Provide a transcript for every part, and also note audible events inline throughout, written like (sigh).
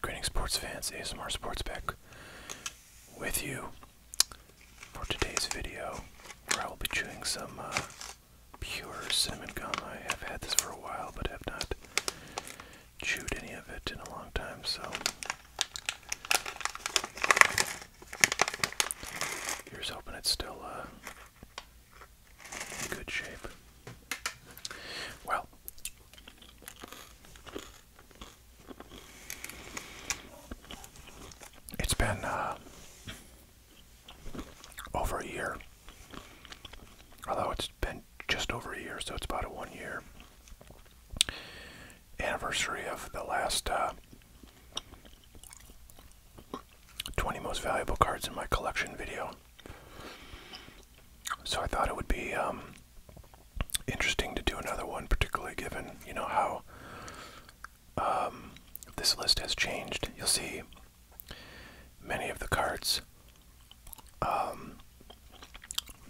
Greetings, sports fans. ASMR Sports back with you for today's video, where I will be chewing some uh, pure cinnamon gum. I have had this for a while, but have not chewed any of it in a long time, so Here's hoping it's still uh, in good shape. Well, it's been uh, over a year, although it's been just over a year, so it's about a one year anniversary of the last uh, 20 most valuable cards in my collection video. So I thought it would be um, interesting to do another one, particularly given, you know, how um, this list has changed. You'll see many of the cards um,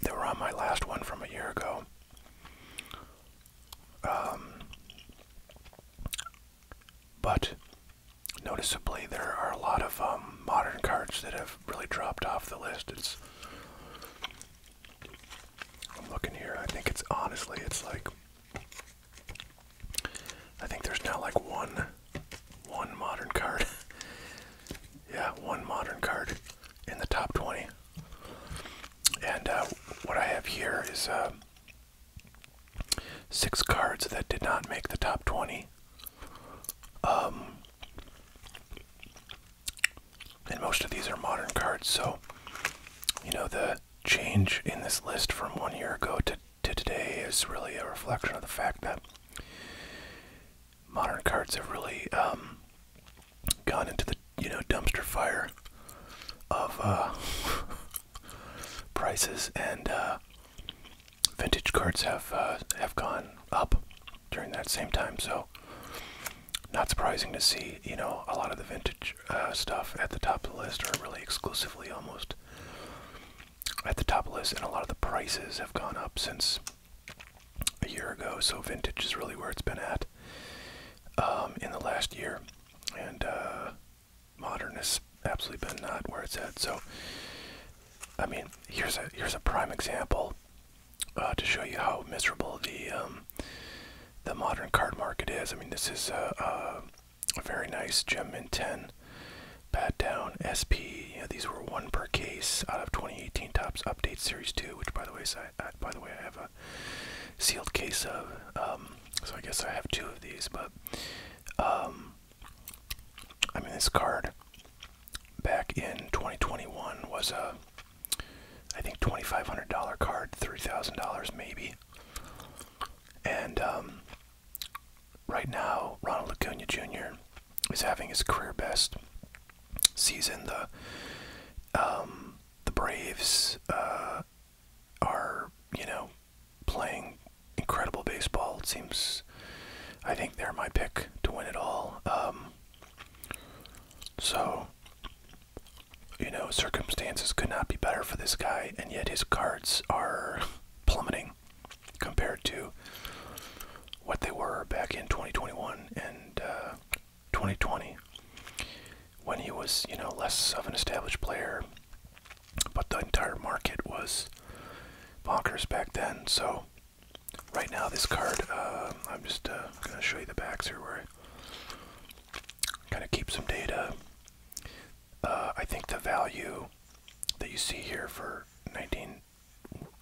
that were on my last one from a year ago um, but noticeably, there are a lot of um, modern cards that have really dropped off the list. It's I'm looking here. I think it's honestly, it's like I think there's now like one, one modern card. (laughs) yeah, one modern card in the top 20. And uh, what I have here is uh, six cards that did not make the top 20. Um, and most of these are modern cards, so, you know, the change in this list from one year ago to, to today is really a reflection of the fact that modern cards have really um, gone into the you know dumpster fire of uh, (laughs) prices and uh, vintage cards have uh, have gone up during that same time so not surprising to see you know a lot of the vintage uh, stuff at the top of the list or really exclusively almost at the top of the list and a lot of the prices have gone up since a year ago so vintage is really where it's been at um, in the last year, and uh, modern has absolutely been not where it's at. So, I mean, here's a here's a prime example uh, to show you how miserable the um, the modern card market is. I mean, this is uh, uh, a, very nice gem in ten pat down SP. these were one per case out of 2018 Tops Update Series Two, which by the way, I, I, by the way, I have sealed case of. Um, so I guess I have two of these, but um, I mean this card back in 2021 was a I think $2,500 card, $3,000 maybe, and um, right now Ronald Acuna Jr. is having his career best season. The the Braves. Uh, are you know playing incredible baseball. It seems I think they're my pick to win it all. Um, so you know circumstances could not be better for this guy, and yet his cards are plummeting compared to what they were back in 2021 and uh, 2020 when he was, you know, less of an established player, but the entire market was bonkers back then. So right now this card, uh, I'm just uh, going to show you the backs here where I kind of keep some data. Uh, I think the value that you see here for 19,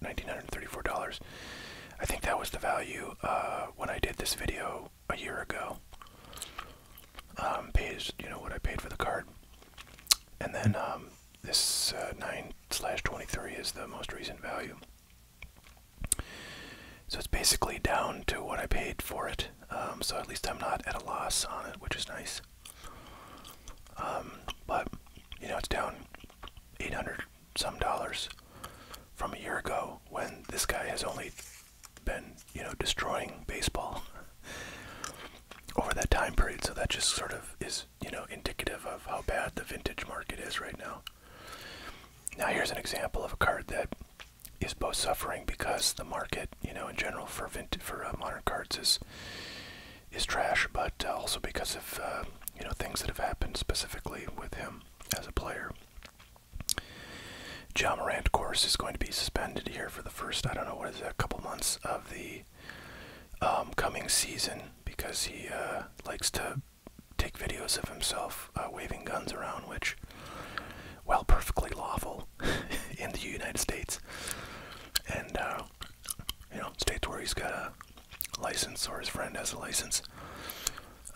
$1,934, I think that was the value when I did this video a year ago. Um, pays you know what I paid for the card, and then um, this uh, nine slash twenty three is the most recent value. So it's basically down to what I paid for it. Um, so at least I'm not at a loss on it, which is nice. Um, but you know it's down eight hundred some dollars from a year ago when this guy has only been, you know, destroying baseball (laughs) over that time period. So that just sort of is, you know, indicative of how bad the vintage market is right now. Now here's an example of a card that is both suffering because the market, you know, in general for vintage, for uh, modern cards is is trash, but uh, also because of uh, you know things that have happened specifically with him as a player. John Morant, of course, is going to be suspended here for the first, I don't know, what is it, a couple months of the um, coming season because he uh, likes to take videos of himself uh, waving guns around, which, well, perfectly lawful (laughs) in the United States. And, uh, you know, states where he's got a license or his friend has a license.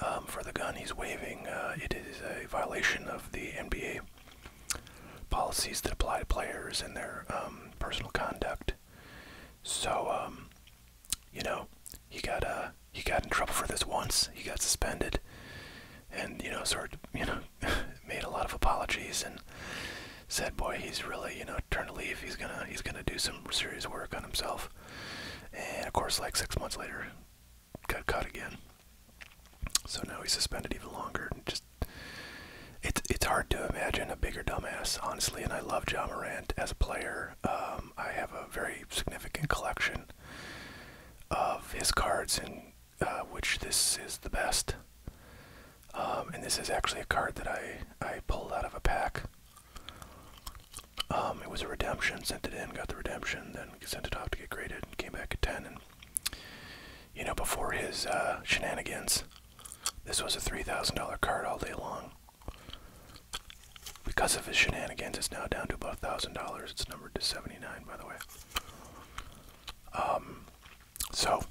Um, for the gun he's waving. Uh, it is a violation of the NBA policies that apply to players and their um, personal conduct. So, um, you know, he got uh, he got in trouble for this once. He got suspended, and you know, sort of, (laughs) you know, made a lot of apologies and said, "Boy, he's really you know turned a leaf. He's gonna he's gonna do some serious work on himself." And of course, like six months later, got caught again. So now he's suspended even longer. just it's it's hard to imagine a bigger dumbass, honestly. And I love John Morant as a player. Um, I have a very significant collection of his cards, and uh, which this is the best. Um, and this is actually a card that I I pulled out of a pack. Um, it was a redemption, sent it in, got the redemption, then sent it off to get graded, came back at 10. And, you know, before his uh, shenanigans, this was a $3,000 card all day long. Because of his shenanigans, it's now down to about $1,000. It's numbered to 79, by the way. Um, so,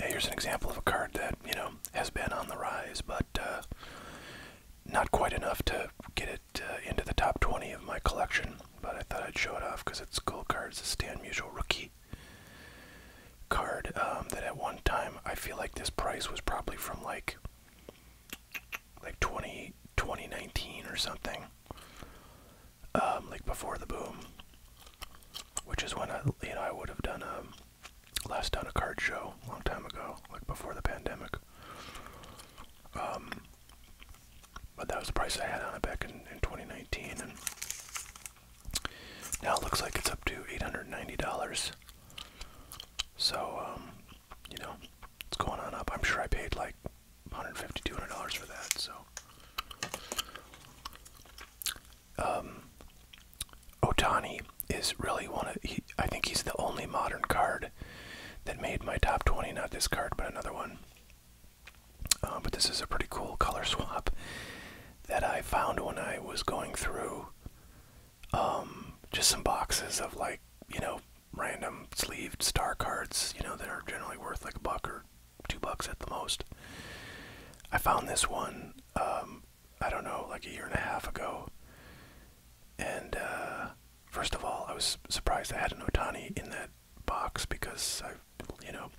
here's an example of a card that, you know, has been on the rise, but uh, not quite enough to get it uh, into the top 20 of my collection, but I thought I'd show it off because it's cool cards. It's a Stan Musial rookie card um, that at one time I feel like this price was probably from like like 20 2019 or something, um, like before the boom, which is when I you know I would have done a um, last done a card show a long time ago, like before the pandemic. Um, but that was the price I had on it back in, in 2019, and now it looks like it's up to $890. So, um, you know, it's going on up. I'm sure I paid like 150 dollars for that, so um, Otani is really one of. He, I think he's the only modern card that made my top 20. Not this card, but another one. Uh, but this is a pretty cool color swap that I found when I was going through um, just some boxes of like, you know, random sleeved star cards, you know, that are generally worth like a buck or two bucks at the most. I found this one um, I don't know, like a year and a half ago. And uh, first of all, I was surprised I had an Otani in that box because I, you know,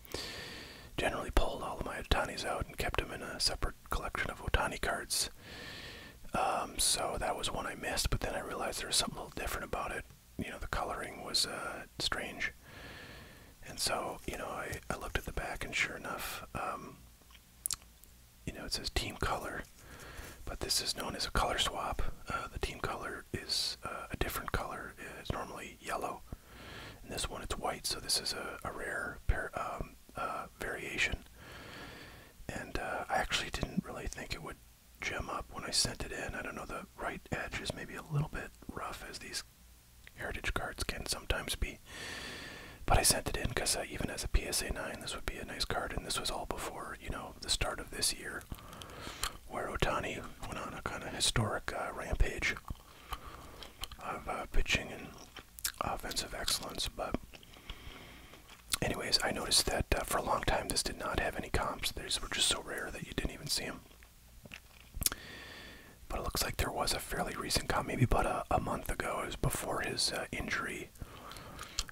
generally pulled all of my Otanis out and kept them in a separate collection of Otani cards. Um, so that was one I missed, but then I realized there was something a little different about it. You know, the coloring was uh, strange. And so, you know, I, I looked at the back, and sure enough, um, you know, it says team color, but this is known as a color swap. Uh, the team color is uh, a different color. It's normally yellow. And this one, it's white, so this is a, rare um, uh, variation. And I actually didn't really think it would gem up when I sent it in. I don't know, the right edge is maybe a little bit rough, as these heritage cards can sometimes be. But I sent it in because uh, even as a PSA 9, this would be a nice card. And this was all before, you know, the start of this year, where Otani went on a kind of historic uh, rampage of uh, pitching and offensive excellence. But, anyways, I noticed that for a long time this did not have any comps. These were just so rare that you didn't even see them. But it looks like there was a fairly recent comp, maybe about a, a month ago. It was before his injury.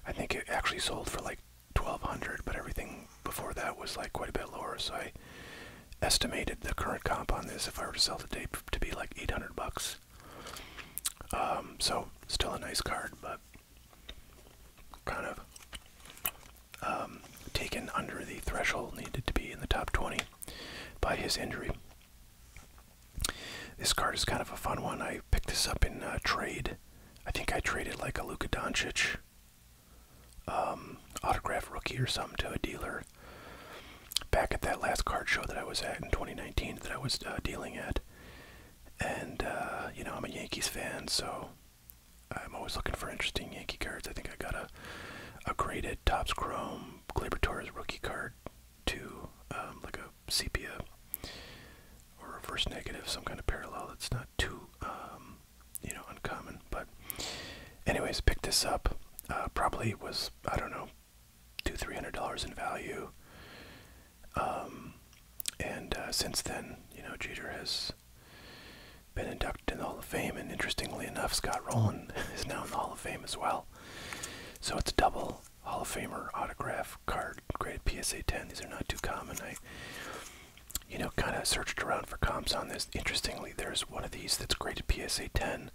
I think it actually sold for like 1200 but everything before that was like quite a bit lower, so I estimated the current comp on this if I were to sell the tape, to be like 800 bucks. Um, so still a nice card, but kind of um, taken under the threshold needed to be in the top 20 by his injury. This card is kind of a fun one. I picked this up in uh, trade. I think I traded like a Luka Doncic um, autograph rookie or something to a dealer back at that last card show that I was at in 2019 that I was uh, dealing at. And, uh, you know, I'm a Yankees fan, so I'm always looking for interesting Yankee cards. I think I got a, a graded Topps Chrome Glaber Torres rookie card to um, like a sepia or reverse negative, some kind of parallel It's not too, um, you know, uncommon. But, anyways, picked this up. Uh, probably was, I don't know, two, three hundred dollars in value. Um, and uh, since then, you know, Jeter has been inducted in the Hall of Fame, and interestingly enough, Scott Rowland (laughs) is now in the Hall of Fame as well. So it's double Hall of Famer autograph card, graded PSA 10. These are not too common. I, you know, kind of searched around for comps on this. Interestingly, there's one of these that's graded PSA 10,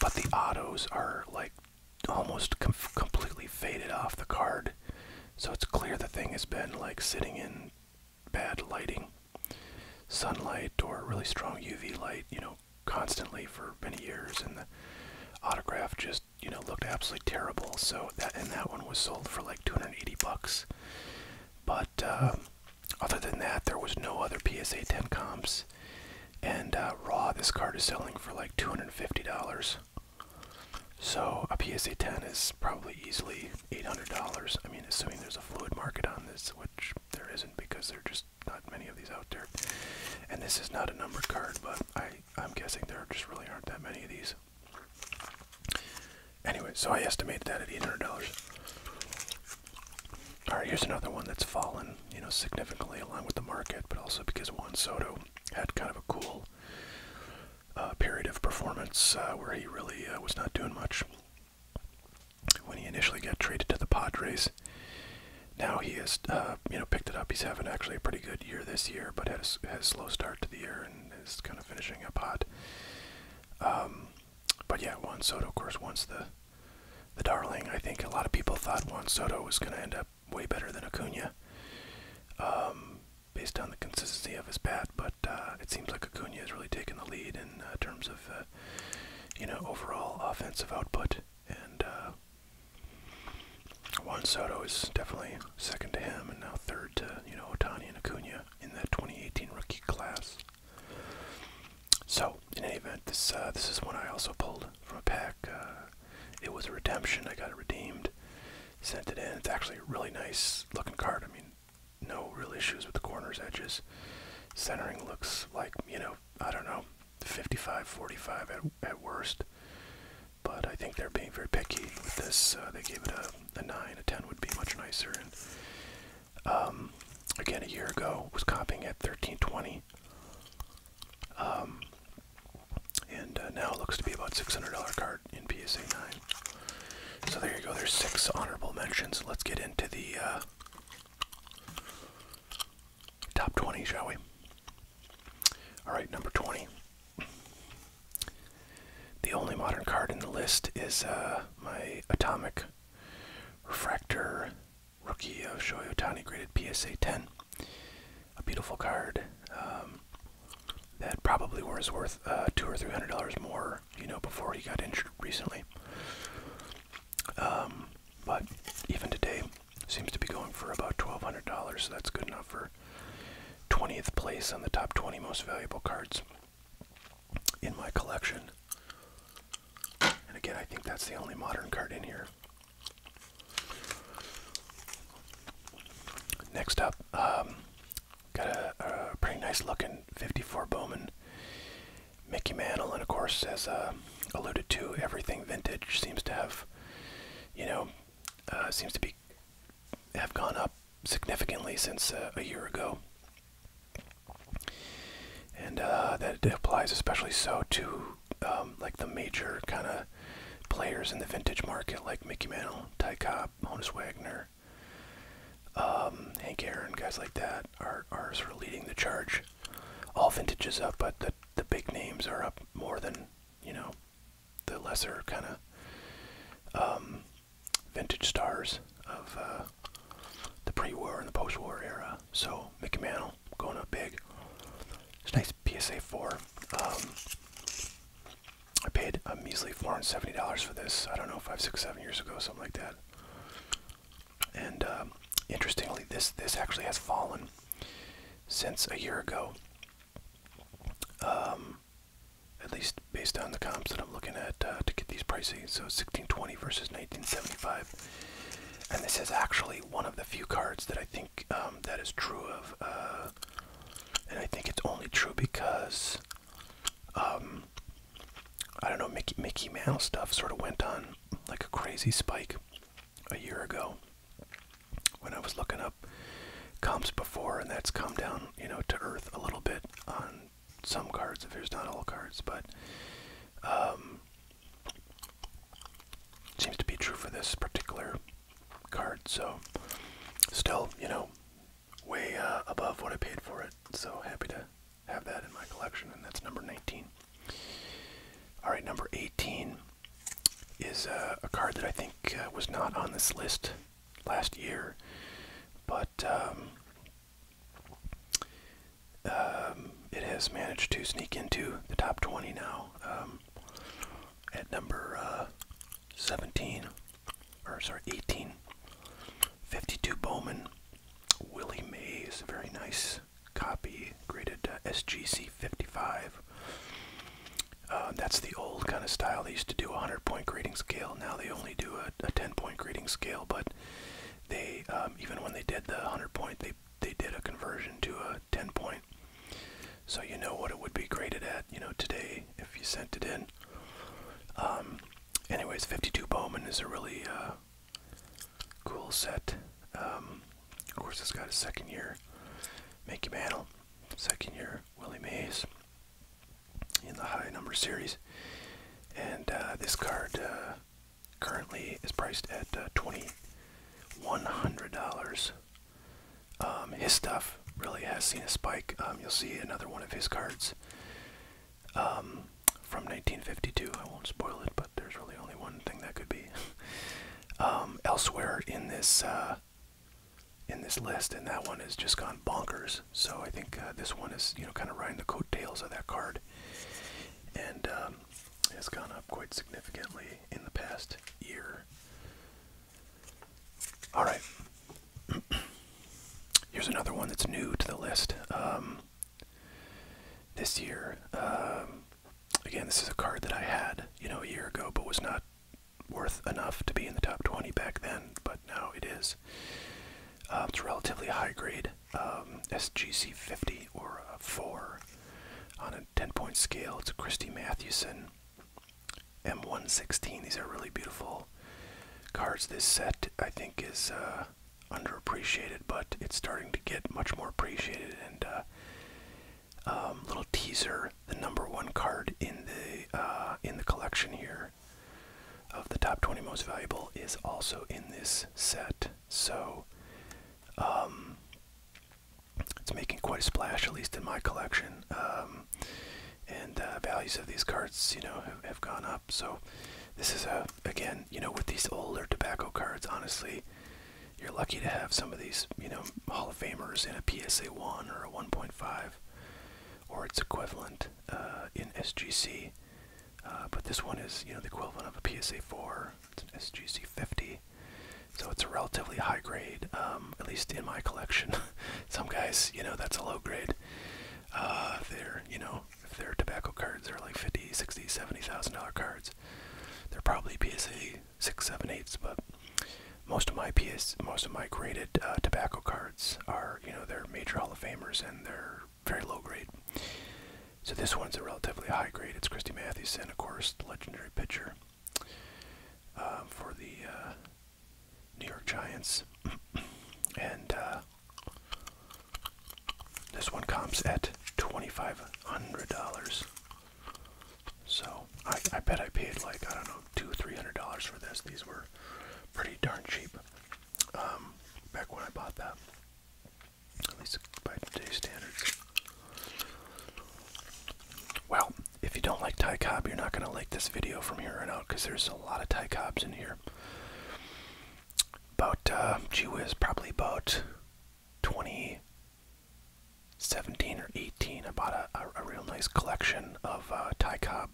but the autos are like almost completely faded off the card. So it's clear the thing has been like sitting in bad lighting, sunlight, or really strong UV light, you know, constantly for many years, and the autograph just you know looked absolutely terrible. So that and that one was sold for like 280 bucks. But uh, other than that, there was no other PSA 10 comps. And uh, raw, this card is selling for like 250 dollars. So a PSA 10 is probably easily $800. I mean, assuming there's a fluid market on this, which there isn't because they're just not many of these out there. And this is not a numbered card, but I, I'm guessing there just really aren't that many of these. Anyway, so I estimated that at $800. Alright, here's another one that's fallen, you know, significantly along with the market, but also because Juan Soto had kind of a cool uh, period of performance uh, where he really uh, was not doing much. When he initially got traded to the Padres, now he has uh, you know picked it up. He's having actually a pretty good year this year, but has a slow start to the year and is kind of finishing up hot. Um, but yeah, Juan Soto, of course, once the the darling. I think a lot of people thought Juan Soto was going to end up way better than Acuna, um, based on the consistency of his bat. But uh, it seems like Acuna has really taken the lead in uh, terms of you know overall offensive output and uh, Juan Soto is definitely second to him, and now third to you know Otani and Acuna in that 2018 rookie class. So, in any event, this uh, this is one I also pulled from a pack. Uh, it was a redemption. I got it redeemed, sent it in. It's actually a really nice looking card. I mean, no real issues with the corners, edges, centering looks like you know I don't know 55-45 at, at worst. But I think they're being very picky with this. Uh, they gave it a, a 9. A 10 would be much nicer. um, again, a year ago, was copying at 1320. Um, and uh, now it looks to be about $600 card in PSA 9. So there you go. There's six honorable mentions. Let's get into the uh, top 20, shall we? Alright, number 20. The only modern card in the list is uh, my Atomic Refractor Rookie of Shohei Otani graded PSA 10. A beautiful card um, that probably was worth uh, two or three hundred dollars more, you know, before he got injured recently. Um, but even today, Seems to be going for about $1,200, so that's good enough for 20th place on the top 20 most valuable cards in my collection. And again, I think that's the only modern card in here. Next up, um, got a, pretty nice looking 54 Bowman Mickey Mantle, and of course, says. Uh, alluded to, everything vintage seems to have, you know, uh, seems to be have gone up significantly since uh, a year ago. And uh, that applies especially so to um, like the major kind of players in the vintage market, like Mickey Mantle, Ty Cobb, Honus Wagner, um, Hank Aaron, guys like that are, are sort leading the charge all vintages up, but the the big names are up more than you know the lesser kind of um, vintage stars of uh, the pre-war and the post-war era. So Mickey Mantle going up big. It's nice PSA four. Um, I paid a measly four hundred seventy dollars for this. I don't know, five, six, seven years ago, something like that. And um, interestingly, this this actually has fallen since a year ago. Um, at least based on the comps that I'm looking at uh, to get these pricing. So 1620 versus 1975. And this is actually one of the few cards that I think um, that is true of. Uh, and I think it's only true because, um, I don't know, Mickey, Mickey Mouse stuff sort of went on like a crazy spike a year ago when I was looking up comps before, and that's come down, you know, to earth a little bit on some cards, if there's not all cards, but um, seems to be true for this particular card. So, still, you know, way uh, above what I paid for it. So happy to have that in my collection, and that's number 19. All right, number 18 is uh, a card that I think uh, was not on this list last year, but um, um, it has managed to sneak into the top 20 now um, at number uh, 17, or sorry, 18. 52 Bowman, Willie Mays, very nice copy, graded SGC 55. Uh, that's the old kind of style. They used to do a 100 point grading scale. Now they only do a, 10 point grading scale, but they, um, even when they did the 100 point, they, they did a conversion to a 10 point. So you know what it would be graded at, you know, today if you sent it in. Um, anyways, 52 Bowman is a really uh, cool set. Um, of course, it's got a second year Mickey Mantle, second year Willie Mays in the high number series. And uh, this card uh, currently is priced at uh, $2,100. Um, his stuff really has seen a spike. Um, you'll see another one of his cards um, from 1952. I won't spoil it, but there's really only one thing that could be. (laughs) Um, elsewhere in this uh, in this list, and that one has just gone bonkers. So I think uh, this one is you know kind of riding the coattails of that card, and um, has gone up quite significantly in the past year. All right, (clears throat) here's another one that's new to the list. Um, this year, again, this is a card that I had, you know, a year ago, but was not worth enough to be in the top 20 back then, but now it is. Uh, it's relatively high grade, um, SGC 50 or 4 on a 10 point scale. It's a Christy Mathewson M116. These are really beautiful cards. This set, I think, is uh, underappreciated, but it's starting to get much more appreciated, and uh, um, little teaser, the number one card in the uh, in the collection here of the top 20 most valuable is also in this set. So um, it's making quite a splash, at least in my collection. Um, and uh, values of these cards, you know, have gone up. So this is a again, you know, with these older tobacco cards, honestly, you're lucky to have some of these, you know, Hall of Famers in a PSA 1 or a 1.5 or its equivalent uh, in SGC. Uh, but this one is, you know, the equivalent of a PSA 4. It's an SGC 50. So it's a relatively high grade, um, at least in my collection. (laughs) some guys, you know, that's a low grade. Uh, they're, you know, if they're tobacco cards, they're like 50, 60, 70,000 dollar cards. They're probably PSA six seven eights, but most of my PS, most of my graded uh, tobacco cards are, you know, they're major Hall of Famers and they're very low grade. So this one's a relatively high grade. It's Christy and of course, the legendary pitcher um, for the uh, New York Giants, (clears throat) and uh, this one comps at twenty-five hundred dollars. So I, I bet I paid like I don't know two three hundred dollars for this. These were pretty darn cheap um, back when I bought that. At least by today's standards. Well, if you don't like Thai Cobb, you're not going to like this video from here on out because there's a lot of Thai Cobbs in here. About, uh, gee whiz, probably about 20, 17 or 18, I bought a, a, real nice collection of uh, Ty Cobb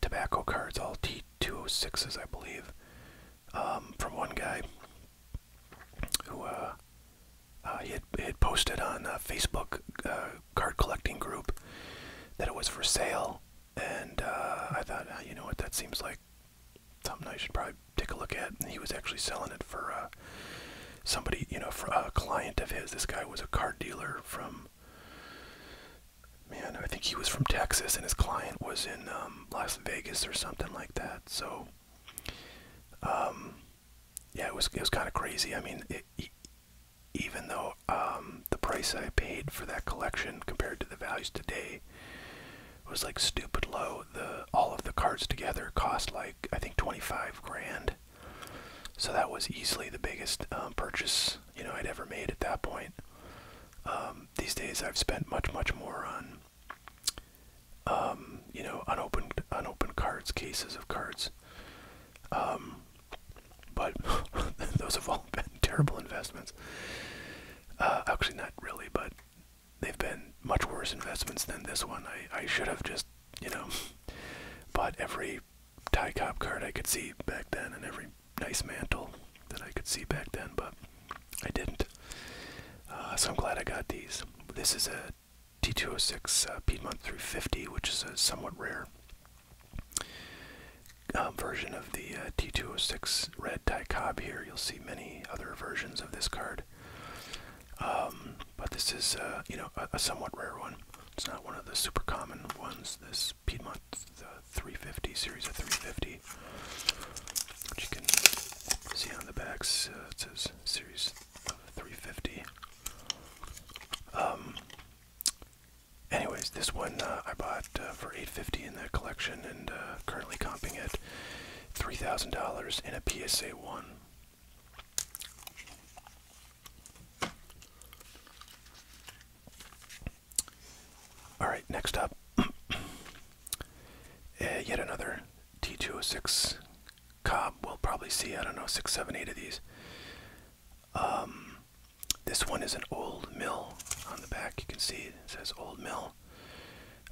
tobacco cards, all T206s, I believe, um, from one guy who uh, uh, he, had, posted on a Facebook uh, card collecting group that it was for sale. And I thought, ah, you know what, that seems like something I should probably take a look at. He was actually selling it for uh, somebody, you know, for a client of his. This guy was a car dealer from, man, I think he was from Texas, and his client was in um, Las Vegas or something like that. So, um, yeah, it was it was kind of crazy. I mean, it, it, even though um, the price I paid for that collection compared to the values today it was like stupid low. The all of the cards together cost like I think 25 grand. So that was easily the biggest um, purchase you know I'd ever made at that point. Um, these days I've spent much much more on um, you know unopened unopened cards, cases of cards. but (laughs) those have all (laughs) been terrible investments. Uh, actually, not really, but they've been much worse investments than this one. I, I should have just, you know, (laughs) bought every Ty Cobb card I could see back then and every nice mantle that I could see back then, but I didn't. Uh, so I'm glad I got these. This is a T206 uh, Piedmont through 50, which is a somewhat rare um, version of the uh, T206 red Ty Cobb here. You'll see many other versions of this card um, but this is, uh, you know, a, somewhat rare one. It's not one of the super common ones. This Piedmont 350 series of 350, which you can see on the backs. Uh, it says series of 350. Um, anyways, this one uh, I bought for 850 in the collection, and currently comping it. $3,000 in a PSA 1. Alright, next up, (clears throat) eh, yet another T206 Cobb. We'll probably see, I don't know, six, seven, eight of these. Um, this one is an old mill on the back. You can see it says old mill.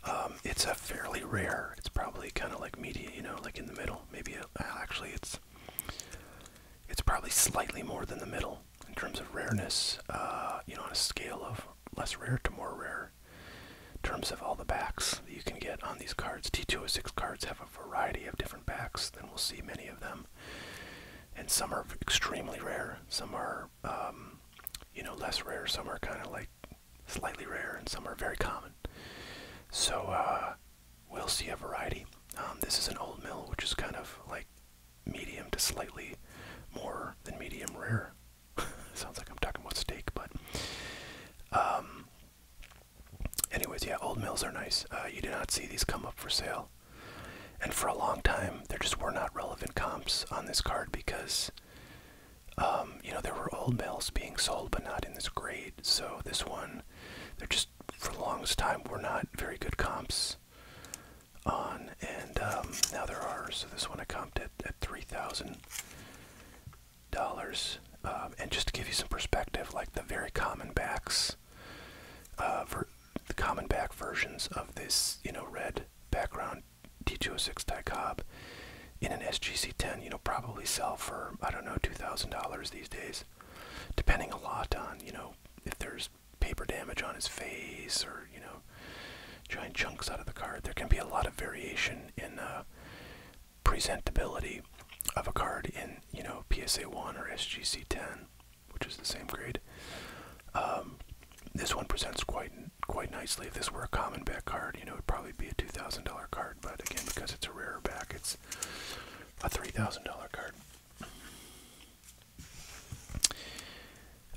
Um, it's a fairly rare. It's probably kind of like media, you know, like in the middle. Maybe uh, actually, it's it's probably slightly more than the middle in terms of rareness. Uh, you know, on a scale of less rare to more rare. In terms of all the backs that you can get on these cards, T206 cards have a variety of different backs, Then we'll see many of them. And some are extremely rare. Some are, um, you know, less rare. Some are kind of like slightly rare, and some are very common. So uh, we'll see a variety. Um, this is an old mill, which is kind of like medium to slightly more than medium rare. (laughs) Sounds like I'm talking about steak, but. Um, anyways, yeah, old mills are nice. Uh, you do not see these come up for sale. And for a long time, there just were not relevant comps on this card because um, you know, there were old mills being sold, but not in this grade. So this one, they're just for the longest time were not very good comps on, and um, now there are. So this one I comped at, at three thousand dollars. Um, and just to give you some perspective, like the very common backs, uh, the common back versions of this, you know, red background D206 Ty Cobb in an SGC10, you know, probably sell for, I don't know, $2,000 these days, depending a lot on, you know, if there's paper damage on his face or, you know, giant chunks out of the card. There can be a lot of variation in uh, presentability of a card in, you know, PSA 1 or SGC 10, which is the same grade. Um, this one presents quite quite nicely. If this were a common back card, you know, it'd probably be a two thousand dollar card. But again, because it's a rarer back, it's a three thousand dollar card.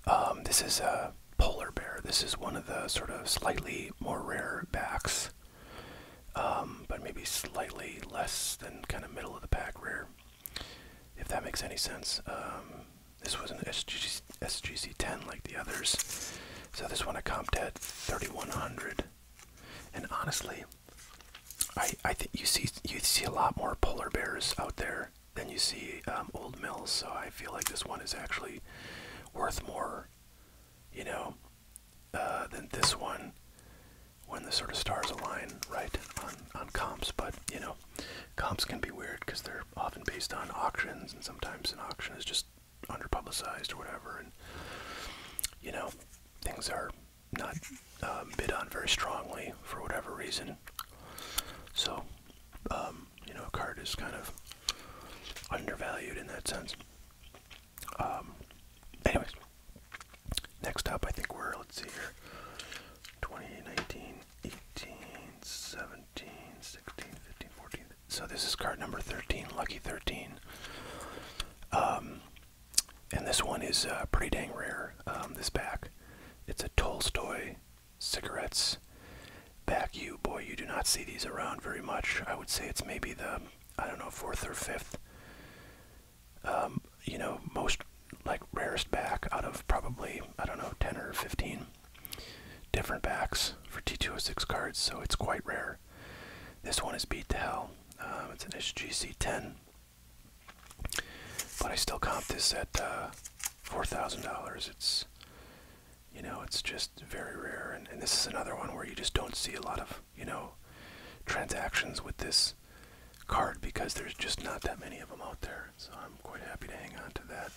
Um, this is a polar bear. This is one of the sort of slightly more rare backs, um, but maybe slightly less than kind of middle of the pack rare. If that makes any sense. Um, this was an SGC. SGC10 like the others. So this one a comped at 3100. And honestly, I I think you see you see a lot more polar bears out there than you see um, old mills. So I feel like this one is actually worth more, you know, uh, than this one when the sort of stars align right on on comps. But you know, comps can be weird because they're often based on auctions, and sometimes an auction is just underpublicized or whatever, and you know, things are not um, bid on very strongly for whatever reason. So, um, you know, a card is kind of undervalued in that sense. Um, anyways, next up, I think we're, let's see here, 2019, 18, 17. So this is card number 13, Lucky 13. Um, and this one is uh, pretty dang rare, um, this back, It's a Tolstoy cigarettes back you. Boy, you do not see these around very much. I would say it's maybe the, I don't know, fourth or fifth, um, you know, most like rarest back out of probably, I don't know, 10 or 15 different backs for T206 cards, so it's quite rare. This one is beat to hell. Um, it's an HGC 10. But I still comp this at uh, $4,000. It's, you know, it's just very rare. and this is another one where you just don't see a lot of, you know, transactions with this card because there's just not that many of them out there. So I'm quite happy to hang on to that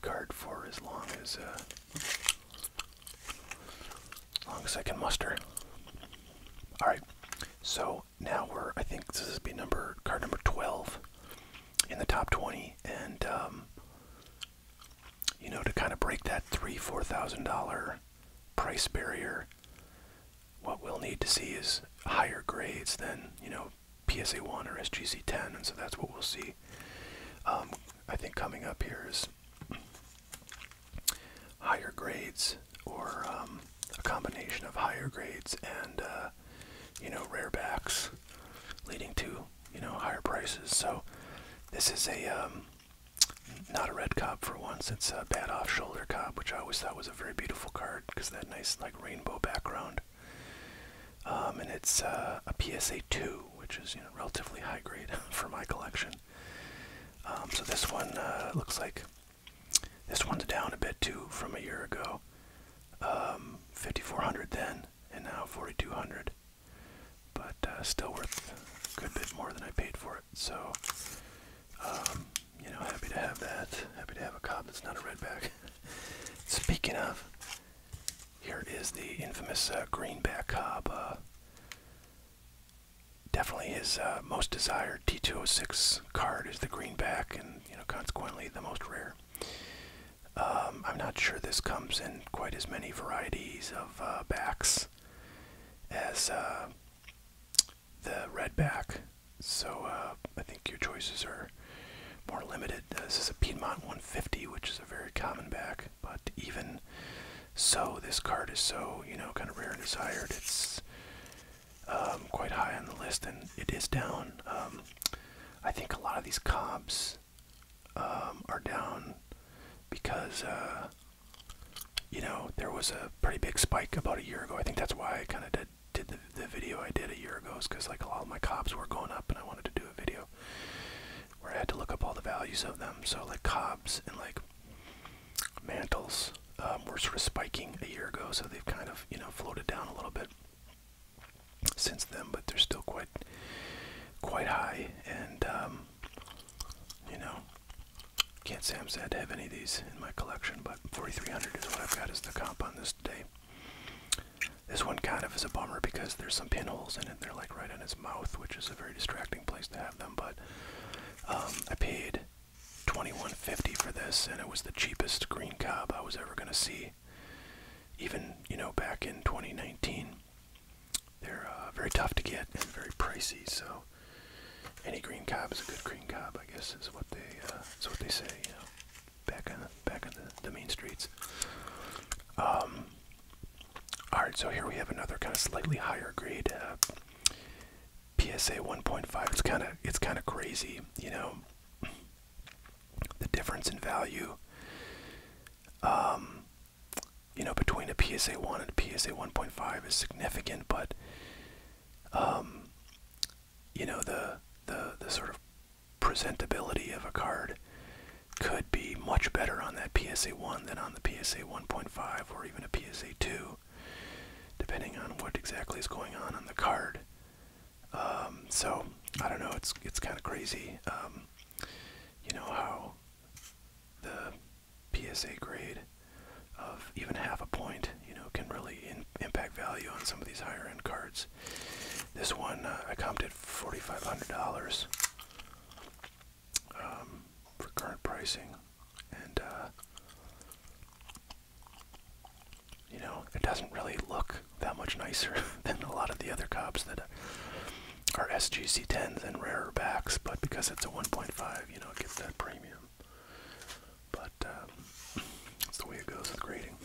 card for as long as, uh, long as I can muster. All right, so now we're I think this is be number card number twelve in the top twenty, and um, you know to kind of break that three four thousand dollar price barrier, what we'll need to see is higher grades than you know PSA one or SGC ten, and so that's what we'll see. Um, I think coming up here is higher grades or um, a combination of higher grades and uh, you know rare backs leading to you know higher prices so this is a um, not a red cob for once it's a bad off shoulder cob which i always thought was a very beautiful card because that nice like rainbow background um, and it's uh, a PSA two, which is relatively high grade (laughs) for my collection. Um, so this one uh, looks like this one's down a bit too from a year ago, um, 5400 then, and now 4200, but uh, still worth a good bit more than I paid for it. So you know, happy to have that. Happy to have a cob that's not a red back. (laughs) Speaking of, here is the infamous uh, Greenback Cobb. Uh, definitely his uh, most desired T206 card is the Greenback, and you know consequently the most rare. Um, I'm not sure this comes in quite as many varieties of backs as the redback, so I think your choices are more limited. Uh, this is a Piedmont 150, which is a very common back, but even so, this card is so, you know, kind of rare and desired. It's um, quite high on the list, and it is down. Um, I think a lot of these cobs um, are down because, uh, you know, there was a pretty big spike about a year ago. I think that's why I kind of did, did the, the video I did a year ago, is because, like, a lot of my cobs were going up, and I wanted to do a video where I had to look up all the values of them. So like cobs and like mantles um, were sort of spiking a year ago, so they've kind of you know floated down a little bit since then, but they're still quite quite high. And um, you know, can't say I'm sad to have any of these in my collection, but 4,300 is what I've got as the comp on this day. This one kind of is a bummer because there's some pinholes in it. They're like right in his mouth, which is a very distracting place to have them. But um, I paid 21.50 for this, and it was the cheapest green cob I was ever gonna see. Even you know back in 2019, they're uh, very tough to get and very pricey. So any green cob is a good green cob, I guess, is what they uh, what they say. You know, back in the, back on the, the main streets. Um, Alright, so here we have another kind of slightly higher grade uh, PSA 1.5. It's kind of it's kind of crazy, you know, the difference in value, um, you know, between a PSA 1 and a PSA 1.5 is significant, but, um, you know, the the the sort of presentability of a card could be much better on that PSA 1 than on the PSA 1.5 or even a PSA 2, depending on what exactly is going on on the card. Um, so I don't know. It's it's kind of crazy. Um, you know how the PSA grade of even half a point, you know, can really impact value on some of these higher end cards. This one uh, I comped $4,500 um, for current pricing, and uh, you know it doesn't really look that much nicer (laughs) than a lot of the other cops that are SGC tens and rarer backs, but because it's a 1.5, you know it gets that premium. But um, that's (clears throat) the way it goes with grading.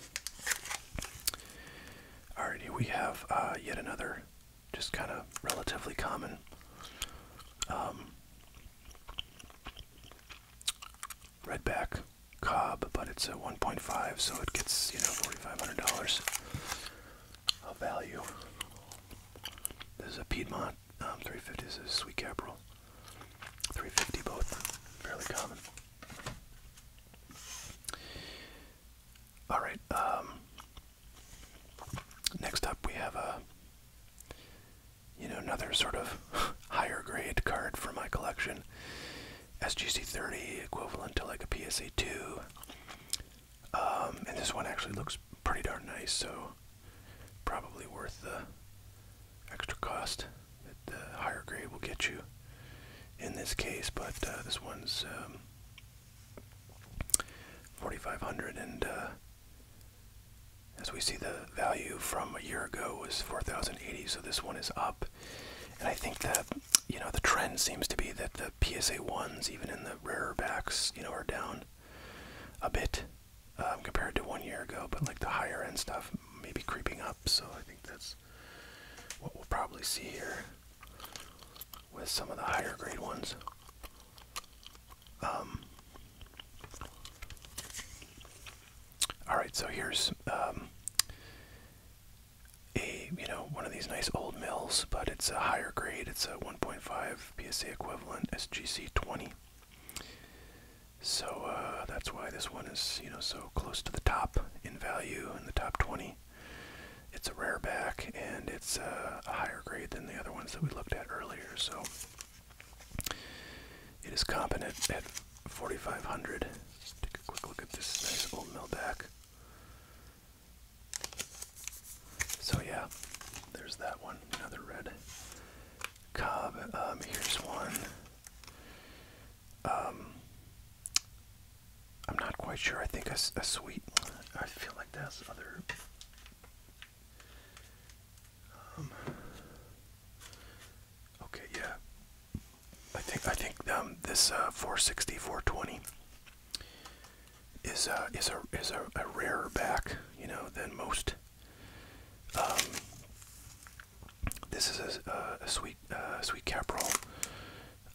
All righty, we have uh, yet another just kind of relatively common. Um, redback cob, but it's a 1.5, so it gets you know $4,500 of value. Um, this is a Piedmont 350. This is a Sweet Caprel 350, both fairly common. All right. Um, next up, we have a you know another sort of (laughs) higher grade card for my collection. SGC30 equivalent to like a PSA2. Um, and this one actually looks pretty darn nice, so probably worth the extra cost that the higher grade will get you in this case. But uh, this one's um, 4,500 and uh, as we see the value from a year ago was 4,080 so this one is up and I think that you know the trend seems to be that the PSA ones even in the rarer backs you know are down a bit um, compared to one year ago but like the higher end stuff maybe creeping up so I think that's what we'll probably see here with some of the higher grade ones. Um, all right, so here's um, a you know one of these nice old mills, but it's a higher grade. It's a 1.5 PSA equivalent SGC 20. So uh, that's why this one is you know so close to the top in value in the top 20. It's a rare back and it's uh, a higher grade than the other ones that we looked at earlier, so it is competent at 4,500. take a quick look at this nice old mill back. So yeah, there's that one, another red cob. Um, here's one. Um, I'm not quite sure. I think a, a sweet. I feel like that's other. Um, okay, yeah. I think I think um, this uh, is uh, is a is a, a back, you know, than most. Um, this is a, uh, a, sweet uh, sweet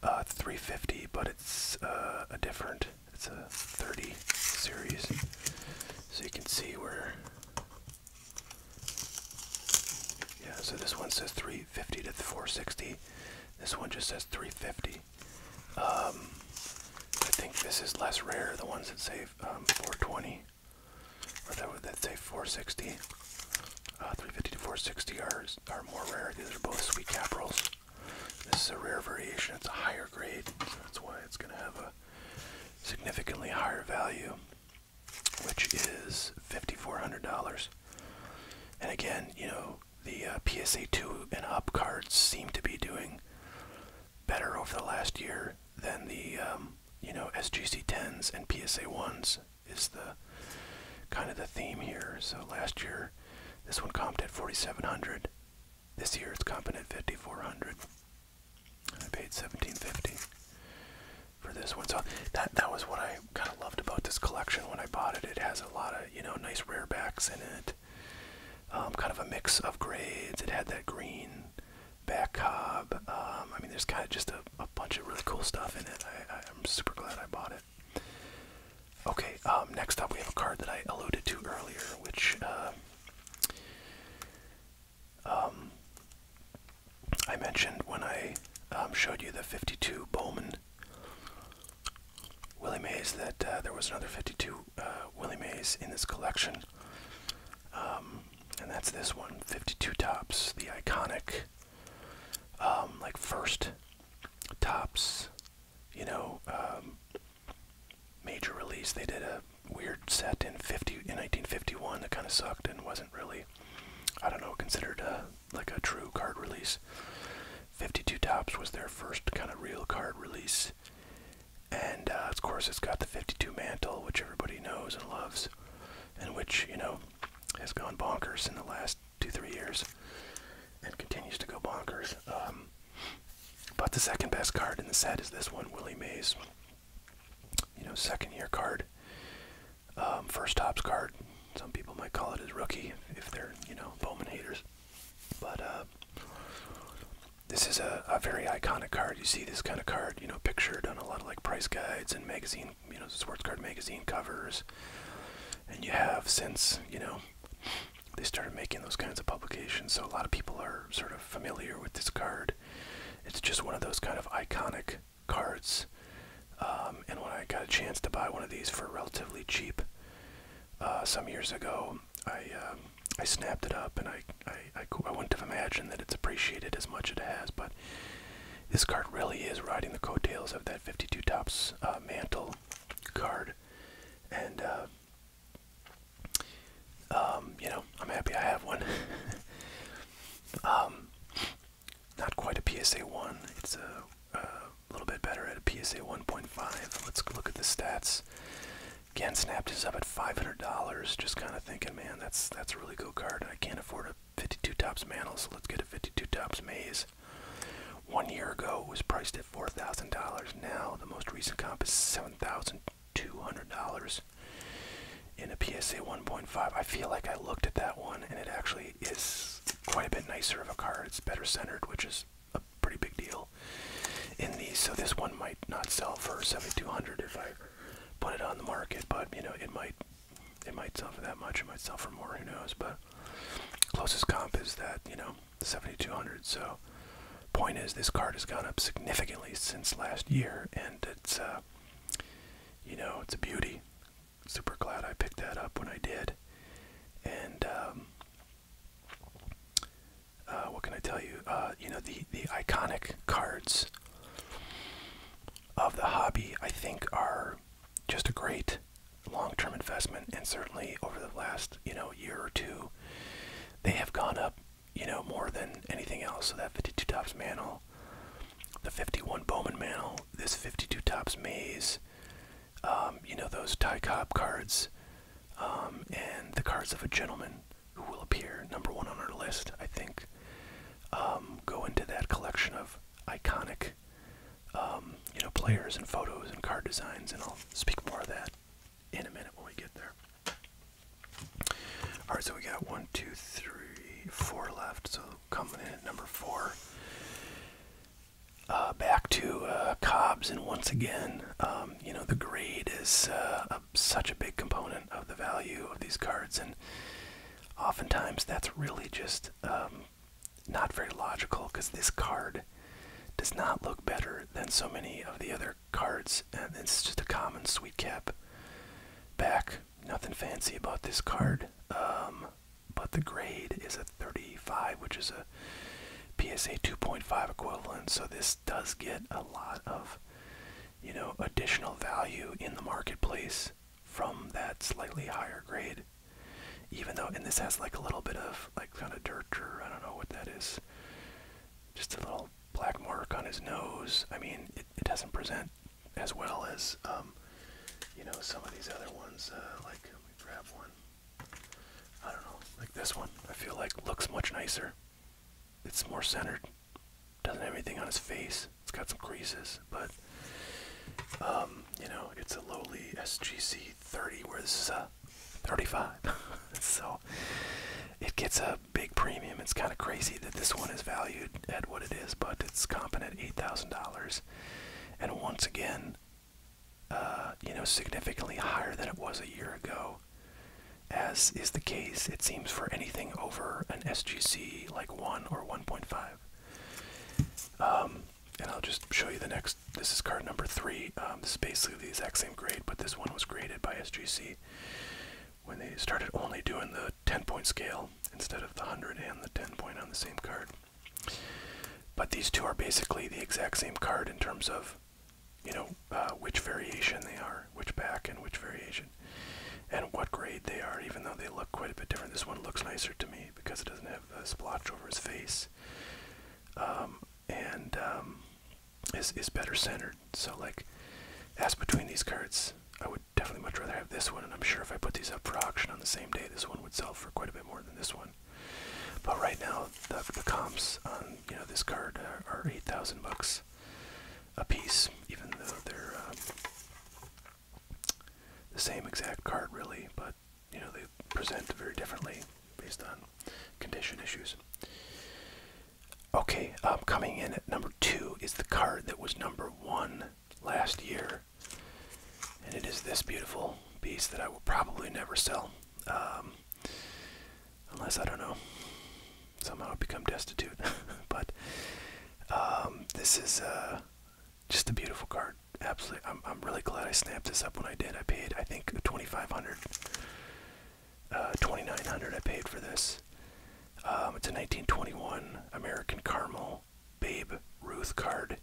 uh, 350, but it's uh, a different. It's a 30 series, so you can see where. Yeah, so this one says 350 to 460. This one just says 350. Um, I think this is less rare. The ones that say um, 420, or that would that say 460. Uh, 350 to 460 are, are more rare. These are both sweet caprils. This is a rare variation. It's a higher grade, so that's why it's going to have a significantly higher value, which is $5,400. And again, you know, the uh, PSA 2 and up cards seem to be doing better over the last year than the, um, you know, SGC 10s and PSA 1s is the kind of the theme here. So last year, this one comped at 4700 This year it's comped at 5400 I paid 1750 for this one. So that that was what I kind of loved about this collection when I bought it. It has a lot of, you know, nice rare backs in it. Um, kind of a mix of grades. It had that green back cob. Um, I mean, there's kind of just a, bunch of really cool stuff in it. I'm super glad I bought it. Okay, um, next up we have a card that I alluded to earlier, which um, um, I mentioned when I showed you the 52 Bowman Willie Mays, that uh, there was another 52 uh, Willie Mays in this collection. and that's this one 52 Tops, the iconic, like first Tops, you know, um, major release. They did a weird set in fifty in 1951 that kind of sucked and wasn't really, I don't know, considered a, like a true card release. 52 Tops was their first kind of real card release, and uh, of course it's got the 52 mantle, which everybody knows and loves, and which you know has gone bonkers in the last two, three years and continues to go bonkers. Um, but the second best card in the set is this one, Willie Mays. You know, second year card, um, first tops card. Some people might call it his rookie if they're, you know, Bowman haters. But uh, this is a, a very iconic card. You see this kind of card, you know, pictured on a lot of like price guides and magazine, you know, sports card magazine covers. And you have since, you know, they started making those kinds of publications, so a lot of people are sort of familiar with this card. It's just one of those kind of iconic cards. Um, and when I got a chance to buy one of these for relatively cheap uh, some years ago, I um, I snapped it up, and I, I, I, wouldn't have imagined that it's appreciated as much as it has, but this card really is riding the coattails of that 52 tops uh, mantle card, and uh, um, you know I'm happy I have one. (laughs) Um, not quite a PSA one. It's a, a little bit better at a PSA 1.5. Let's look at the stats. Again, snapped is up at $500. Just kind of thinking, man, that's that's a really cool card. I can't afford a 52 tops mantle, so let's get a 52 tops maze. One year ago, it was priced at $4,000. Now, the most recent comp is $7,200 in a PSA 1.5. I feel like I looked at that one, and it actually is quite a bit nicer of a card. It's better centered, which is a pretty big deal in these. So this one might not sell for 7,200 if I put it on the market, but you know, it might it might sell for that much. It might sell for more. Who knows? But Closest comp is that, you know, 7200. So, point is, this card has gone up significantly since last year, and it's, uh, you know, it's a beauty. Super glad I picked that up when I did. And, um, uh, what can I tell you? Uh, you know, the, the iconic cards of the hobby, I think, are just a great long-term investment and certainly over the last you know year or two they have gone up you know more than anything else so that 52 tops mantle the 51 bowman mantle this 52 tops maze um, you know those ty cobb cards um, and the cards of a gentleman who will appear number one on our list i think um, go into that collection of iconic um, you know players and photos and card designs, and I'll speak more of that in a minute when we get there. All right, so we got one, two, three, four left. So coming in at number four. Uh, back to uh, Cobbs, and once again, um, you know, the grade is uh, such a big component of the value of these cards, and oftentimes that's really just um, not very logical because this card does not look better than so many of the other cards. And it's just a common sweet cap back. Nothing fancy about this card. Um, but the grade is a 35, which is a PSA 2.5 equivalent. So this does get a lot of, you know, additional value in the marketplace from that slightly higher grade. Even though, and this has like a little bit of like kind of dirt or I don't know what that is. Just a little black mark on his nose. I mean, it, doesn't present as well as, um, you know, some of these other ones. Uh, like, let me grab one. I don't know, like this one. I feel like looks much nicer. It's more centered. Doesn't have anything on his face. It's got some creases, but um, you know, it's a lowly SGC 30, was uh, 35. (laughs) so it gets a big premium. It's kind of crazy that this one is valued at what it is, but it's comping at $8,000. And once again, uh, you know, significantly higher than it was a year ago. As is the case, it seems, for anything over an SGC like 1 or 1.5. Um, and I'll just show you the next this is card number three. Um, this is basically the exact same grade, but this one was graded by SGC when they started only doing the 10-point scale instead of the 100 and the 10-point on the same card. But these two are basically the exact same card in terms of, you know, uh, which variation they are, which back and which variation, and what grade they are. Even though they look quite a bit different, this one looks nicer to me because it doesn't have the splotch over his face um, and um, is is better centered. So like, as between these cards, I would definitely much rather have this one. And I'm sure if I put these up for auction on the same day, this one would sell for quite a bit more than this one. But right now, the, comps on you know this card are, eight thousand bucks a piece, even though they're um, the same exact card really. But you know they present very differently based on condition issues. Okay, um, coming in at number two is the card that was number one last year, and it is this beautiful piece that I will probably never sell, um, unless I don't know somehow become destitute. (laughs) but um, this is a. Uh, just a beautiful card. Absolutely. I'm, I'm really glad I snapped this up when I did. I paid, I think, 2500 uh, 2900 I paid for this. Um, it's a 1921 American Caramel Babe Ruth card.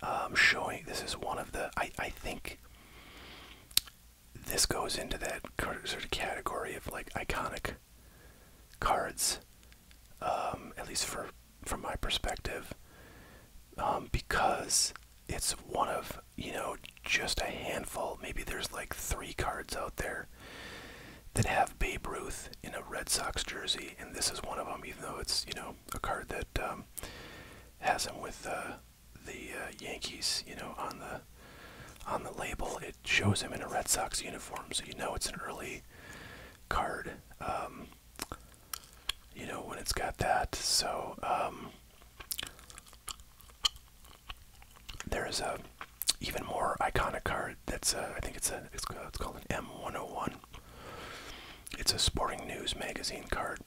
Um, showing this is one of the, I, I think this goes into that sort of category of like iconic cards, um, at least for from my perspective um, because it's one of you know just a handful maybe there's like three cards out there that have Babe Ruth in a Red Sox jersey and this is one of them even though it's you know a card that um, has him with uh, the uh, Yankees you know on the on the label it shows him in a Red Sox uniform so you know it's an early card um, you know when it's got that so um, there is a even more iconic card that's uh, I think it's a it's, called an M101 it's a sporting news magazine card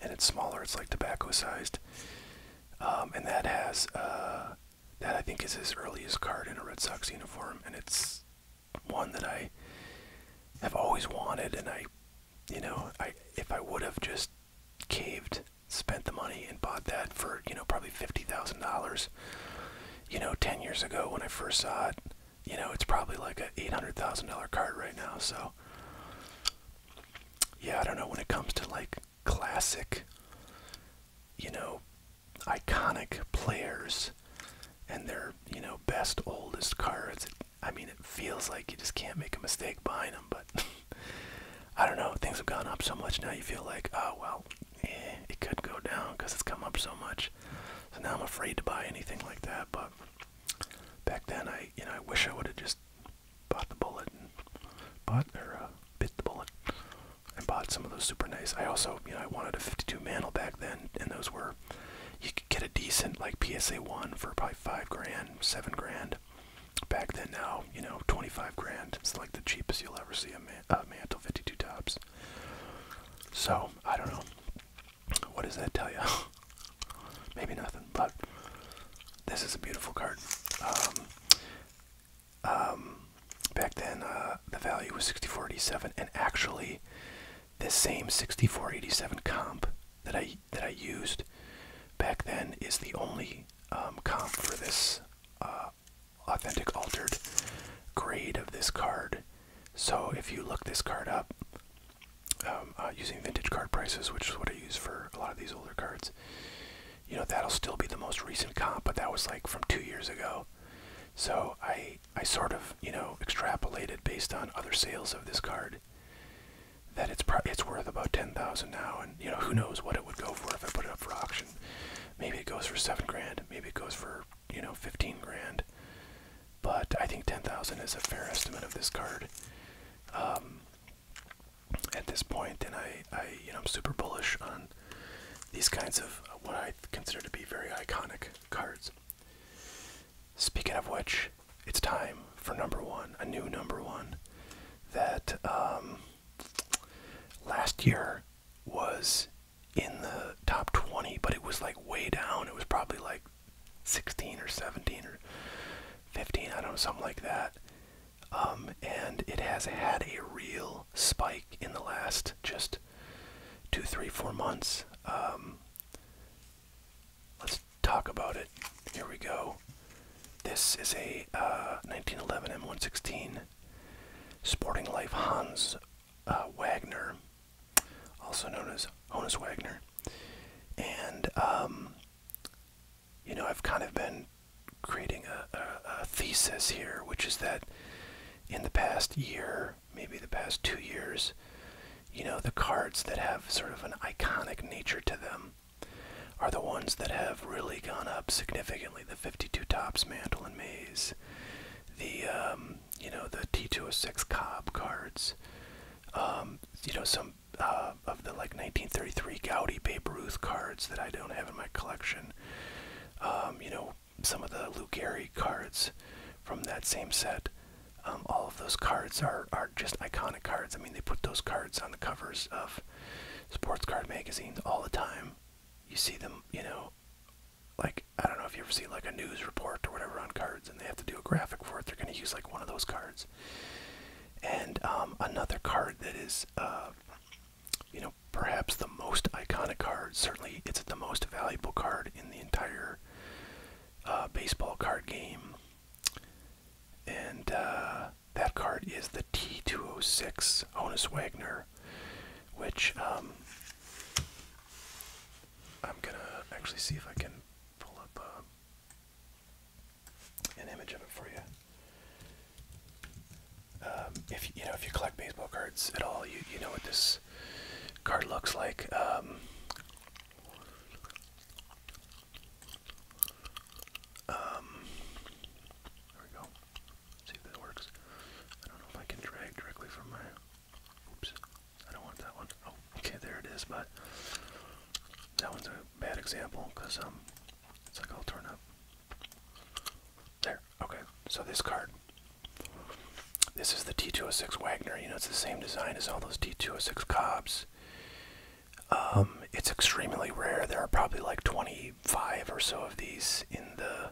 and it's smaller it's like tobacco sized um, and that has uh, that I think is his earliest card in a Red Sox uniform and it's one that I have always wanted, and I, you know, I if I would have just caved, spent the money and bought that for you know probably fifty thousand dollars, you know, ten years ago when I first saw it, you know, it's probably like a eight hundred thousand dollar card right now. So, yeah, I don't know when it comes to like classic, you know, iconic players and their you know best oldest cards. I mean, it feels like you just can't make a mistake buying them, but (laughs) I don't know. Things have gone up so much now. You feel like, oh well, eh, it could go down because it's come up so much. So now I'm afraid to buy anything like that. But back then, I you know I wish I would have just bought the bullet and bought or uh, bit the bullet and bought some of those super nice. I also you know I wanted a 52 mantle back then, and those were you could get a decent like PSA one for probably five grand, seven grand. Back then, now you know twenty five grand. It's like the cheapest you'll ever see a, man mantle fifty two tops. So I don't know. What does that tell you? (laughs) Maybe nothing. But this is a beautiful card. Um, um, back then, uh, the value was sixty forty seven and actually, this same 6487 comp that I that I used back then is the only um, comp for this uh, authentic altered grade of this card. So if you look this card up um, uh, using vintage card prices, which is what I use for a lot of these older cards, you know that'll still be the most recent comp, but that was like from two years ago. So I I sort of you know extrapolated based on other sales of this card that it's it's worth about ten thousand now, and you know who knows what it would go for if I put it up for auction. Maybe it goes for seven grand. Maybe it goes for you know fifteen grand. But I think ten thousand is a fair estimate of this card. Um, at this point, and I, I, you know, I'm super bullish on these kinds of what I consider to be very iconic cards. Speaking of which, it's time for number one, a new number one that um, last year was in the top 20, but it was like way down. It was probably like 16 or 17 or 15, I don't know, something like that. Um, and it has had a real spike in the last just two, three, four months. Um, Let's talk about it. Here we go. This is a 1911 uh, M116 Sporting Life Hans uh, Wagner, also known as Honus Wagner. And, um, you know, I've kind of been creating a thesis here, which is that in the past year, maybe the past two years, you know, the cards that have sort of an iconic nature to them are the ones that have really gone up significantly. The 52 Tops Mantle and Maze, the, um, you know, the T206 Cobb cards, um, you know, some uh, of the like 1933 Gaudi Babe Ruth cards that I don't have in my collection. Um, you know, some of the Luke cards from that same set. Um, all of those cards are, are just iconic cards. I mean, they put those cards on the covers of sports card magazines all the time. You see them, you know, like, I don't know if you ever see like a news report or whatever on cards and they have to do a graphic for it. They're going to use like one of those cards. And um, another card that is, uh, you know, perhaps the most iconic card, certainly it's the most valuable card in the entire Poker uh, baseball card game. And uh, that card is the T206 Honus Wagner, which um, I'm going to actually see if I can pull up uh, an image of it for you. Um, if you know if you collect baseball cards at all, you you know what this card looks like. Um, um, there we go. see if that works. I don't know if I can drag directly from my. Oops. I don't want that one. Oh, okay, there it is. But that one's a bad example because um, it's like all torn up. There. Okay. So this card this is the T206 Wagner. You know, it's the same design as all those T206 Cobbs. Um, it's extremely rare. There are probably like 25 or so of these in the,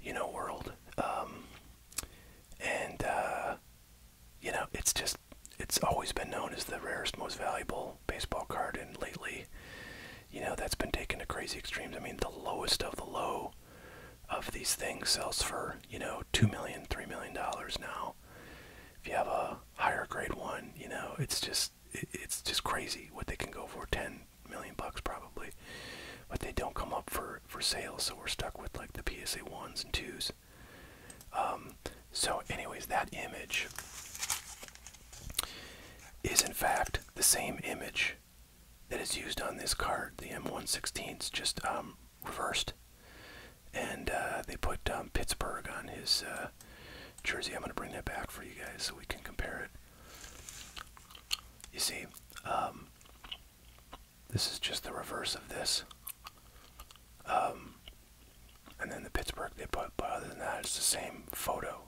you know, world. Um, and, uh, you know, it's just, it's always been known as the rarest, most valuable baseball card. And lately, you know, that's been taken to crazy extremes. I mean, the lowest of the low of these things sells for, you know, two million, three million dollars now. If you have a higher grade one, you know, it's just it's just crazy what they can go for, ten million bucks probably. But they don't come up for for sale, so we're stuck with like the PSA ones and twos. Um, so, anyways, that image is in fact the same image that is used on this card, the m 116 is just um, reversed. And uh, they put um, Pittsburgh on his uh, jersey. I'm going to bring that back for you guys so we can compare it. You see, um, this is just the reverse of this. and then the Pittsburgh they put, but other than that, it's the same photo.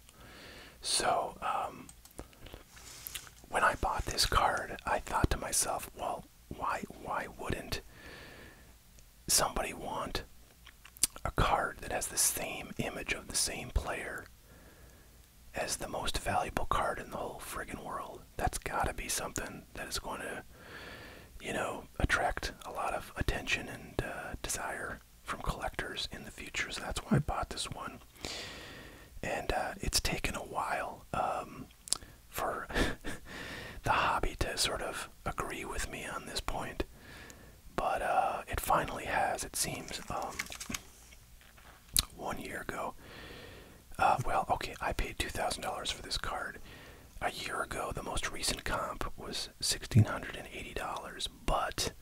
So, when I bought this card, I thought to myself, well, why why wouldn't somebody want a card that has the same image of the same player as the most valuable card in the whole friggin' world? That's gotta be something that is going to, you know, attract a lot of attention and uh, desire from collectors in the future. So that's why I bought this one. And uh, it's taken a while. Um, for (laughs) the hobby to sort of agree with me on this point, but uh, it finally has. It seems um, one year ago. Uh, well, okay, I paid two thousand dollars for this card. A year ago, the most recent comp was sixteen hundred and eighty dollars, but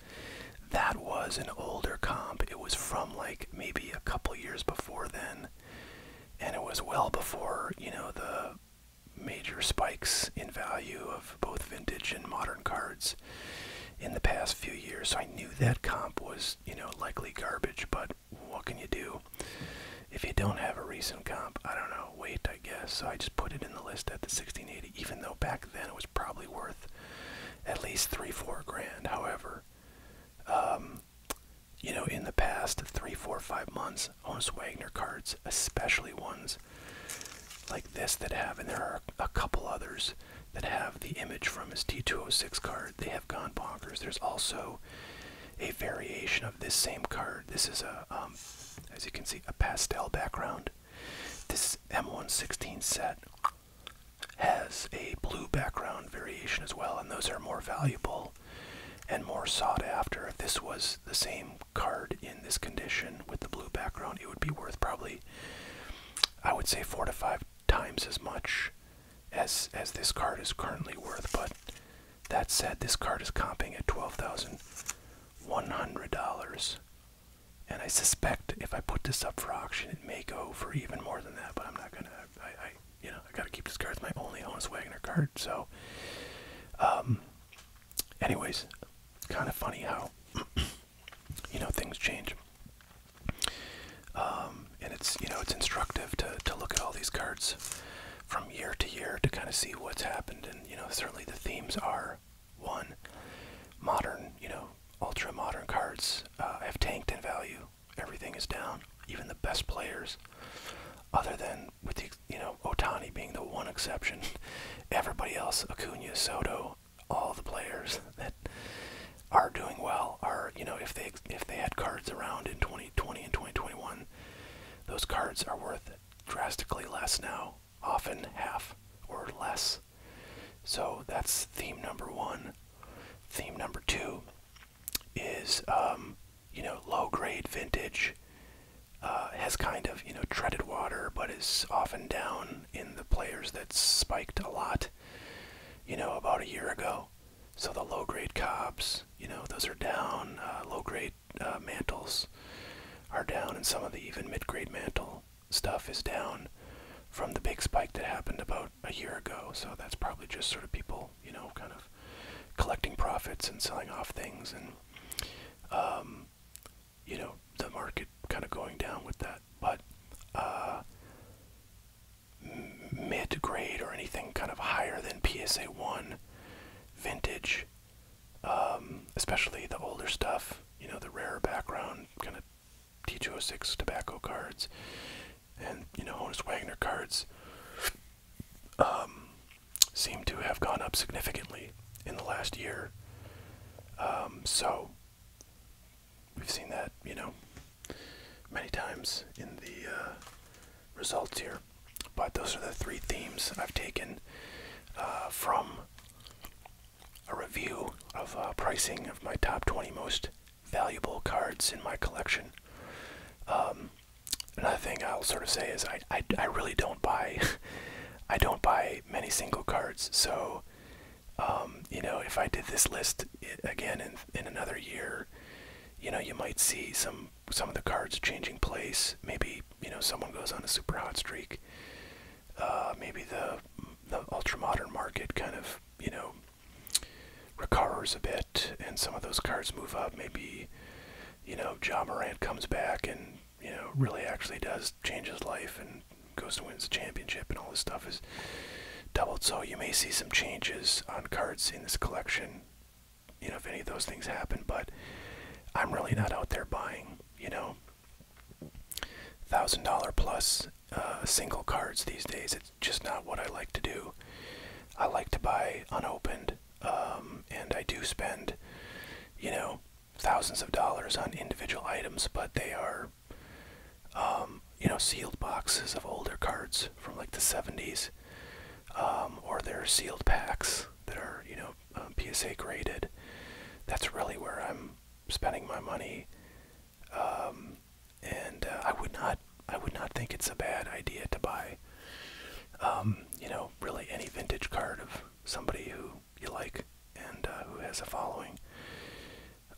that was an older comp. It was from like maybe a couple years before then. And it was well before, you know, the major spikes in value of both vintage and modern cards in the past few years. So I knew that comp was, you know, likely garbage, but what can you do? If you don't have a recent comp, I don't know, wait, I guess. So I just put it in the list at the 1680, even though back then it was probably worth at least three, four grand. However, um, you know, in the past three, four, five months, Honus Wagner cards, especially ones like this that have, and there are a couple others that have the image from his T206 card. They have gone bonkers. There's also a variation of this same card. This is a, um, as you can see, a pastel background. This M116 set has a blue background variation as well, and those are more valuable and more sought after. If this was the same card in this condition with the blue background, it would be worth probably, I would say, four to five times as much as as this card is currently worth. But that said, this card is comping at twelve thousand one hundred dollars. And I suspect if I put this up for auction, it may go for even more than that. But I'm not gonna. I, I you know, I gotta keep this card. It's my only honest Wagner card. So, um, anyways, kind of funny how (clears throat) you know things change. Um, and it's you know it's instructive to to look at all these cards from year to year to kind of see what's happened. And you know certainly the themes are one modern, you know, ultra modern cards uh, have tanked in value Everything is down. Even the best players, other than with you know Otani being the one exception, (laughs) everybody else Acuna, Soto, all the players (laughs) that are doing well are you know if they if they had cards around in 2020 and 2021, those cards are worth drastically less now, often half or less. So that's theme number one. Theme number two is um, you know low grade vintage uh, has kind of you know treaded water but is often down in the players that spiked a lot you know about a year ago so the low grade cobs you know those are down uh, low grade uh, mantles are down and some of the even mid grade mantle stuff is down from the big spike that happened about a year ago, so that's probably just sort of people, you know, kind of collecting profits and selling off things, and um, you know, the market kind of going down with that. But uh, mid grade or anything kind of higher than PSA one vintage, um, especially the older stuff, you know, the rarer background kind of T206 tobacco cards and you know Honus Wagner cards um, seem to have gone up significantly in the last year. Um, so we've seen that you know many times in the uh, results here. But those are the three themes I've taken uh, from a review of uh, pricing of my top 20 most valuable cards in my collection. Um, another thing I'll sort of say is I, I, really don't buy (laughs) I don't buy many single cards. So um, you know if I did this list again in in another year, you know you might see some some of the cards changing place. Maybe you know someone goes on a super hot streak. Uh, maybe the the ultra modern market kind of you know recovers a bit and some of those cards move up. Maybe, you know, John Morant comes back and, you know, really actually does change his life and goes to wins the championship and all this stuff is doubled. So you may see some changes on cards in this collection, you know, if any of those things happen, but I'm really not out there buying, you know. $1,000 plus uh, single cards these days. It's just not what I like to do. I like to buy unopened, um, and I do spend, you know, thousands of dollars on individual items, but they are, um, you know, sealed boxes of older cards from like the 70s, um, or they're sealed packs that are, you know, uh, PSA graded. That's really where I'm spending my money um, and uh, I would not I would not think it's a bad idea to buy um, you know really any vintage card of somebody who you like and uh, who has a following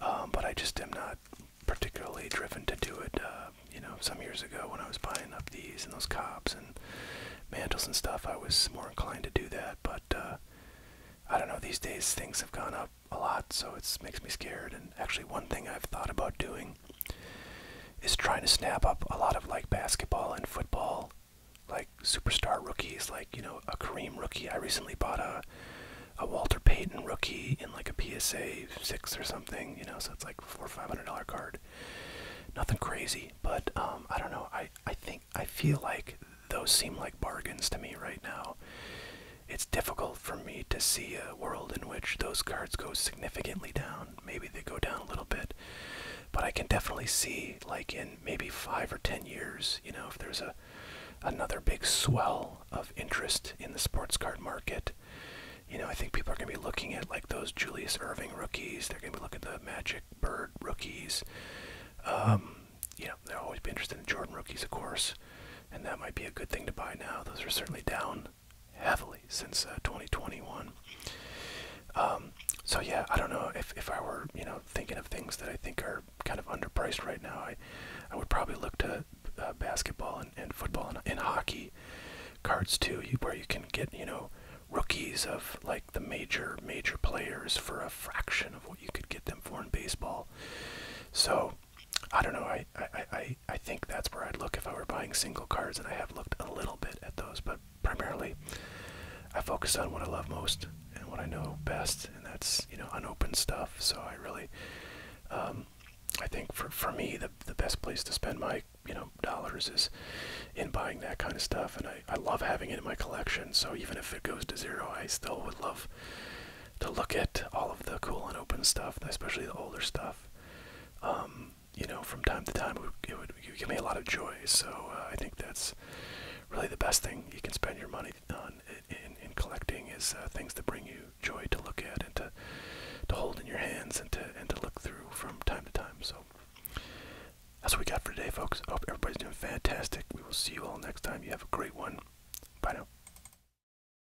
um, but I just am not particularly driven to do it uh, you know some years ago when I was buying up these and those cops and mantles and stuff I was more inclined to do that but uh, I don't know these days things have gone up a lot, so it makes me scared. And actually, one thing I've thought about doing is trying to snap up a lot of like basketball and football, like superstar rookies, like you know a Kareem rookie. I recently bought a a Walter Payton rookie in like a PSA six or something, you know. So it's like four or five hundred dollar card. Nothing crazy, but um, I don't know. I I think I feel like those seem like bargains to me right now. It's difficult for me to see a world in which those cards go significantly down. Maybe they go down a little bit. But I can definitely see, like in maybe five or ten years, you know, if there's a another big swell of interest in the sports card market. You know, I think people are going to be looking at like those Julius Irving rookies. They're going to be looking at the Magic Bird rookies. Um, you know, they'll always be interested in Jordan rookies, of course, and that might be a good thing to buy now. Those are certainly down heavily since uh, 2021. Um, so yeah, I don't know if if I were you know thinking of things that I think are kind of underpriced right now, I I would probably look to uh, basketball and, and football and, and hockey cards too, where you can get you know rookies of like the major major players for a fraction of what you could get them for in baseball. So I don't know. I I I I think that's where I'd look if I were buying single cards, and I have looked a little bit at those, but primarily I focus on what I love most and what I know best, and that's you know unopened stuff. So I really, um, I think for for me the the best place to spend my you know dollars is in buying that kind of stuff, and I I love having it in my collection. So even if it goes to zero, I still would love to look at all of the cool and open stuff, especially the older stuff. Um, you know, from time to time, it would, give me a lot of joy. So uh, I think that's really the best thing you can spend your money on in, collecting is uh, things that bring you joy to look at and to to hold in your hands and to and to look through from time to time. So that's what we got for today, folks. hope everybody's doing fantastic. We will see you all next time. You have a great one. Bye now.